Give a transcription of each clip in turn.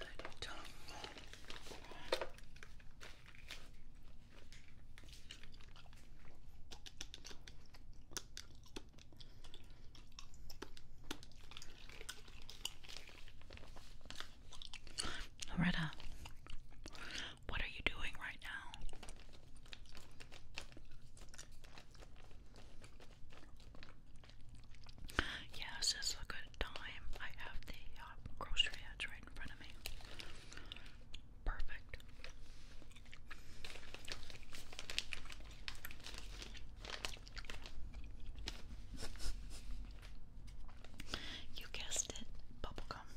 I do tongue. Loretta, what are you doing right now? Yes, it's a good time. I have the uh, grocery ads right in front of me. Perfect. You guessed it, bubblegum.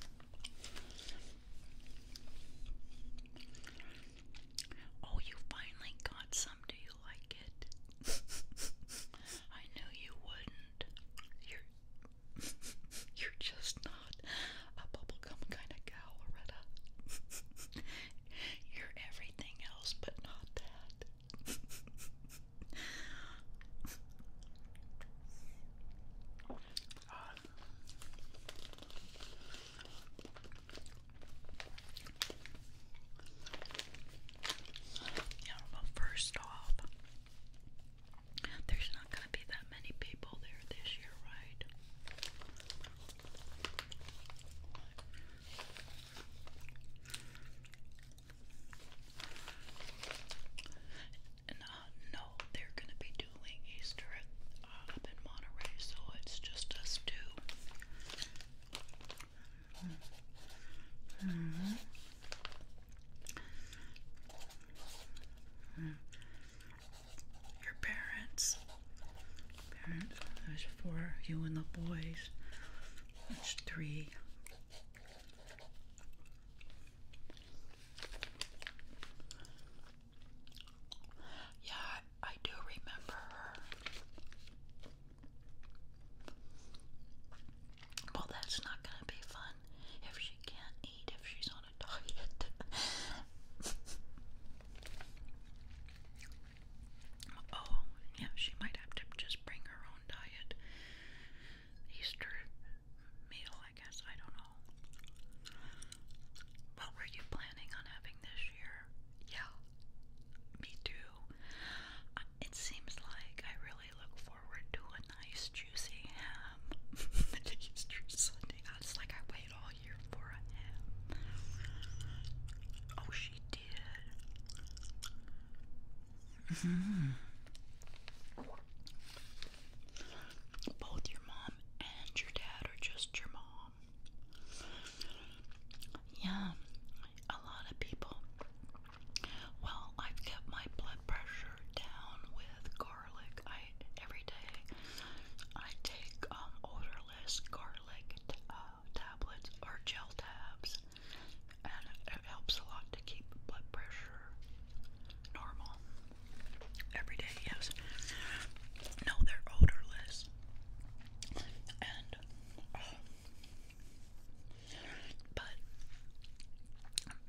Oh, you finally got some, do you? you like it. I knew you wouldn't. You're you're just not a bubblegum kind of gal, Loretta. you're everything else but not that. Uh, you well, first off, there's not going to be that many people there this year, right? Uh, no, they're going to be doing Easter uh, up in Monterey, so it's just us two. Mm-hmm. Your parents, parents, there's four, you and the boys, that's three. Yeah, I do remember well, that's not going to be fun if she can't eat, if she's on a diet. oh, yeah, she might have to just bring her own diet. Easter meal, I guess, I don't know. What were you planning on having this year? Yeah, me too. It seems like I really look forward to a nice juicy ham. It's like I wait all year for a ham. Oh, she did. Mm-hmm. Both your mom and your dad, or just your mom? Yeah, a lot of people. Well, I've kept my blood pressure down with garlic. I every day I take um, odorless garlic uh, tablets or gel tabs, and it, helps a lot to keep blood pressure normal. Every day, yes. No, they're odorless, and. Uh, but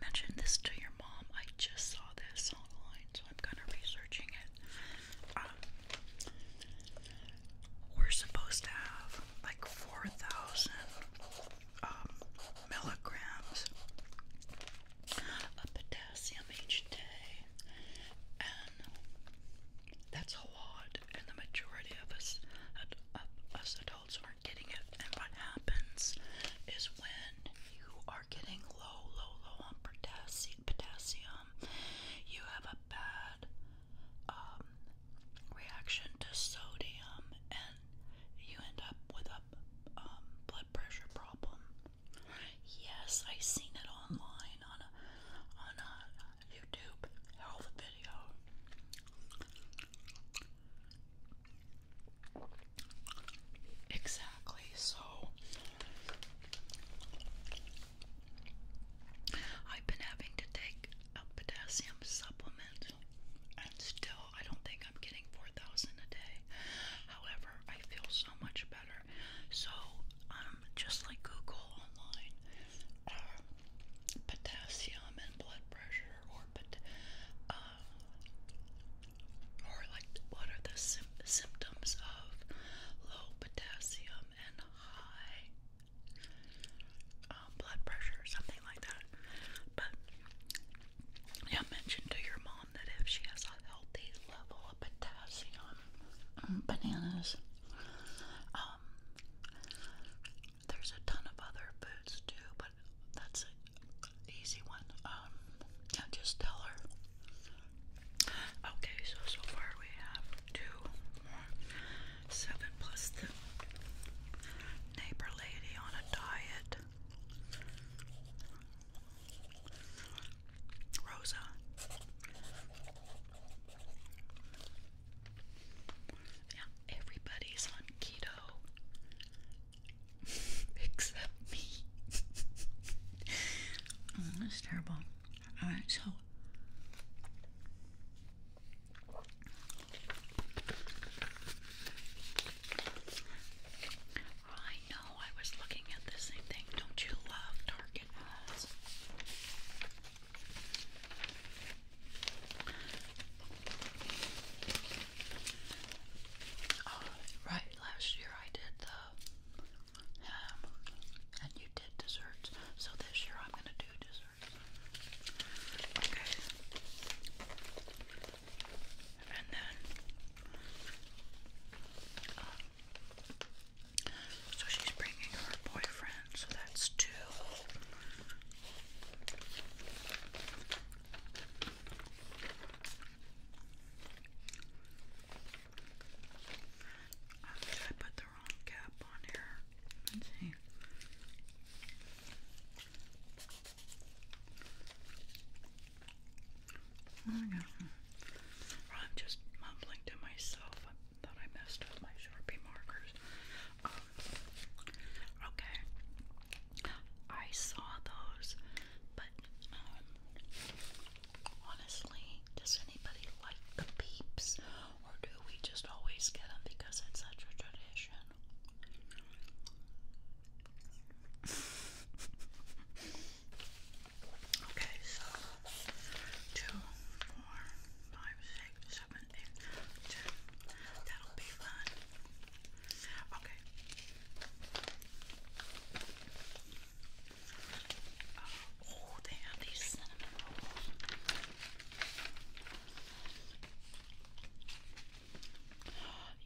mention this to your mom. I just saw this online, so I'm kind of researching it. Um, we're supposed to have like 4,000 um, milligrams of potassium each day, that's a lot, and the majority of us, us adults, aren't getting it. And what happens is when you are getting low, low, low on potassium, you have a bad um, reaction to sodium, and you end up with a um, blood pressure problem. Yes, I've seen it online on a YouTube health video. Exactly, so I've been having to take a potassium supplement, and still, I don't think I'm getting 4,000 a day. However, I feel so much better. So, I'm um, just like Google online, potassium and blood pressure, or pot uh, or like what are the symptoms of low potassium and high um, blood pressure, something like that. But yeah, mention to your mom that if she has a healthy level of potassium bananas. Um, there's a ton of other foods too, but that's an easy one. Um, just tell her. Okay, so so far we have two, one, seven plus the neighbor lady on a diet. Rosa, yeah, everybody's on keto except me. Oh, that's terrible. All right, so I know I was looking at the same thing. Don't you love Target Oh, right, last year I did the ham and you did desserts, so this year I'm gonna do desserts. Okay. And then so she's bringing her boyfriend, so that's two. Oh, did I put the wrong cap on here? Let's see. Oh my God. I'm just mumbling to myself thought I messed up my Sharpie markers. Um, okay. I saw those, but um, honestly, does anybody like the peeps? Or do we just always get them because it's such a tradition? Okay, so two, four, five, six, seven, eight, ten. That'll be fun. Okay. Uh, oh, they have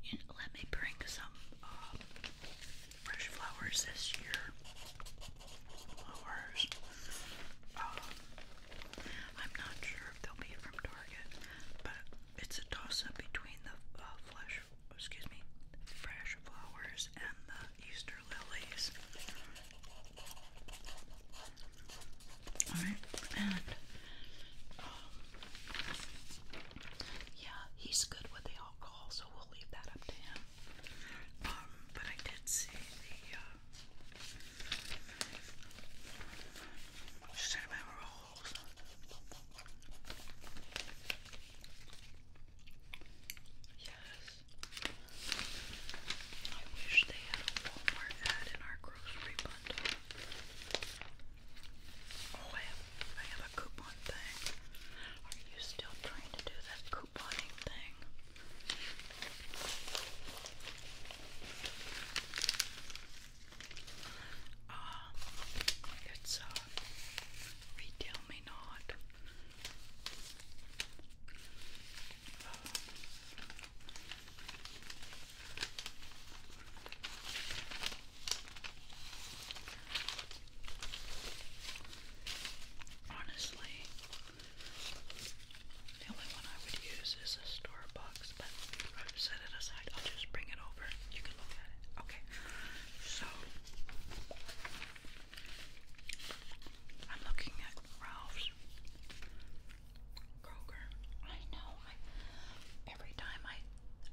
You let me bring some uh, fresh flowers this year flowers. Um, I'm not sure if they'll be from Target, but it's a toss-up between the uh, excuse me, fresh flowers and the Easter lilies. Alright, and um, yeah, he's good with the alcohol, so we'll leave that up to him. Um, but I did see the cinnamon uh, rolls. Yes. I wish they had a Walmart ad in our grocery bundle. Oh, I have a coupon thing. Are you still trying to do that couponing thing? Ah, it's Retail uh, Me Not. honestly, the only one I would use is a Starbucks, but I've set it aside. I'll just bring it over. You can look at it. Okay. So I'm looking at Ralph's Kroger. I know. I, every time I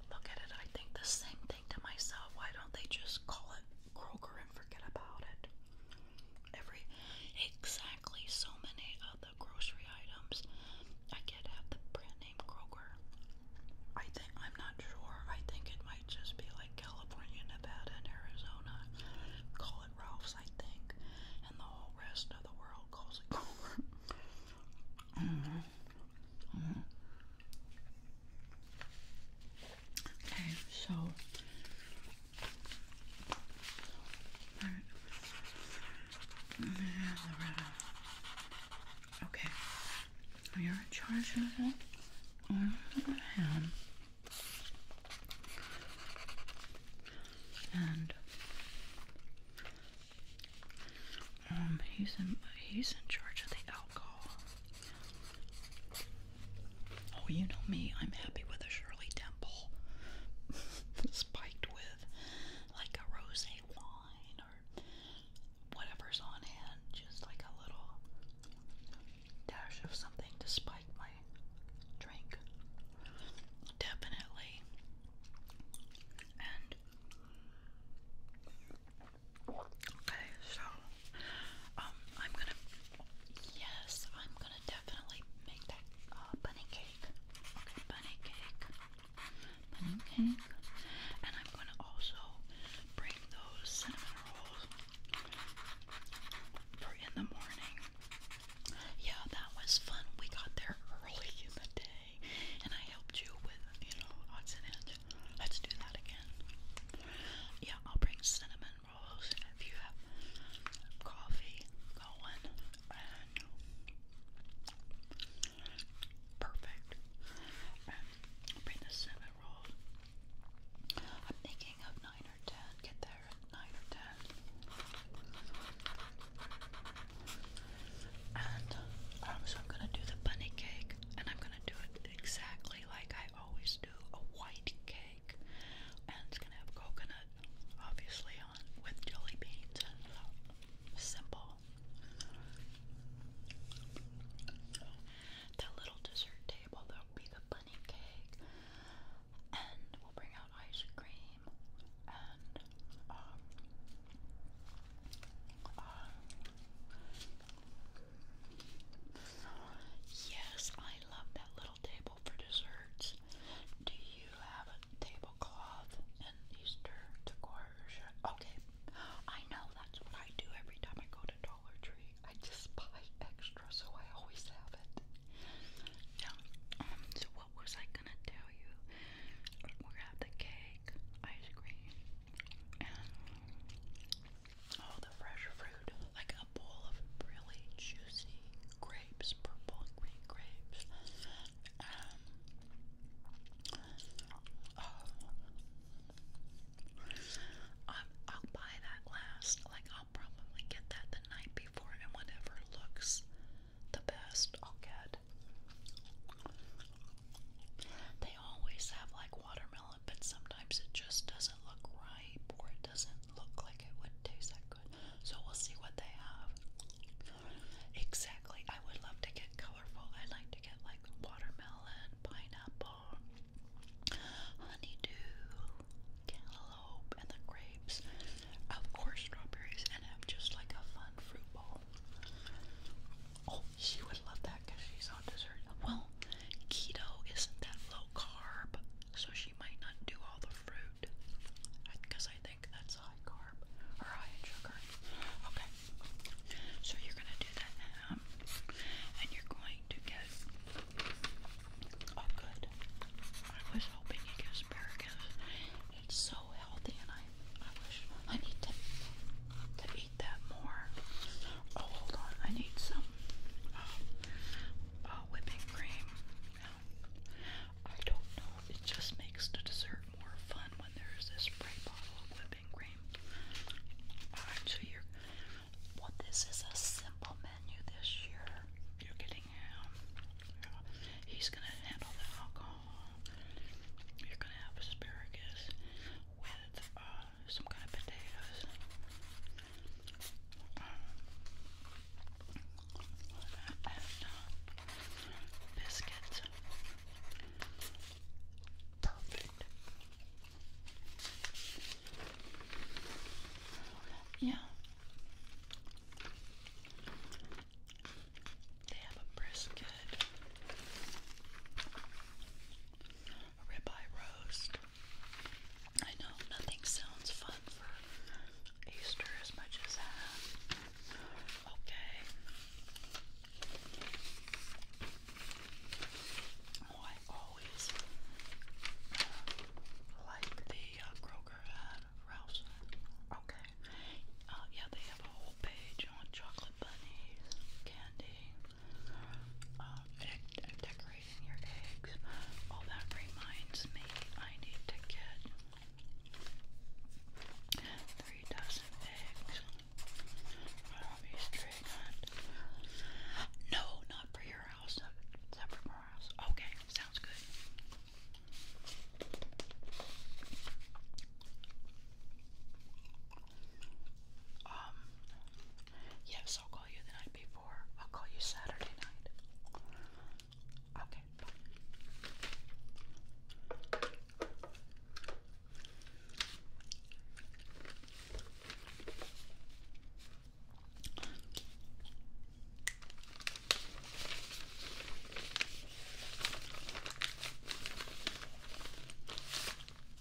look at it, I think the same thing to myself. Why don't they just call it Kroger and forget about it. Every exactly so many of the grocery items I get have the brand name Kroger. I think I'm not sure. I think it might just be like California, Nevada, and Arizona. Call it Ralph's, I think, and the whole rest of the world calls it Kroger. Mm-hmm. Mm-hmm. Okay, so Alright. Okay. You're in charge of it. On the other hand. And um he's in he's in charge of the alcohol. Oh, you know me, I'm happy with a Shirley Temple spiked with like a rose wine or whatever's on hand, just like a little dash of something to spike my drink. Definitely. And okay, so um, I'm gonna. Yes, I'm gonna definitely make that uh, bunny cake. bunny cake, bunny mm-hmm. cake, and I'm gonna also bring those cinnamon rolls for in the morning. Yeah, that was fun. We got there early in the day, and I helped you with you know odds and ends. Let's do that again. Yeah, I'll bring cinnamon rolls, and if you have coffee going, and perfect. And bring the cinnamon rolls. I'm thinking of nine or ten. Get there at nine or ten. And um, so I'm gonna do the bunny cake, and I'm gonna do it exactly like I always do a white cake, and it's gonna have coconut, obviously, on with jelly beans and uh, simple. The little dessert table, there'll be the bunny cake, and we'll bring out ice cream um, uh, Yes, I love that little table for desserts. Do you have a tablecloth and Easter decor? Okay, I know that's what I do every time I go to Dollar Tree. I just buy extra, so I always have it. Yeah. Um, so what was I gonna tell you? We're gonna have the cake, ice cream, all the fresh fruit, like a bowl of really juicy grapes, purple and green grapes. Um, oh, I'll buy that last. Like I'll probably get that the night before, and whatever looks the best, I'll get. They always have like watermelon but sometimes it just doesn't look ripe or it doesn't look like it would taste that good. So we'll see what they have. Exactly. I would love to get colorful. I like to get like watermelon, pineapple, honeydew, cantaloupe, and the grapes. Of course, strawberries, and have just like a fun fruit bowl. Oh, she would love that because she's on dessert. Well, keto isn't that low carb, so she might not do all the fruit because I think that's high carb or high in sugar. Okay, so you're going to do that now, and you're going to get. Oh, good. I was hoping you get asparagus. It's so healthy, and I, I wish I need to to that more. Oh, hold on. I need some uh, uh, whipping cream. I don't know. It just makes the dessert more fun when there's a spray bottle of whipping cream. Alright, so you this is a simple menu this year. You're getting him. he's gonna handle the alcohol. You're gonna have asparagus with uh, some kind of potatoes. biscuits. Perfect. Yeah. They have a brisket, a ribeye roast, I know nothing sounds fun for Easter as much as that. Okay. Oh, I always uh, like the uh, Kroger ad, Ralph's. Okay. Uh, yeah, they have a whole page on chocolate bunnies, candy um, and, decorating your eggs. All that reminds me, I need to get three dozen eggs from Easter egg No, not for your house. Okay, sounds good. Um, Yes, I'll call you the night before. I'll call you Saturday night. Okay,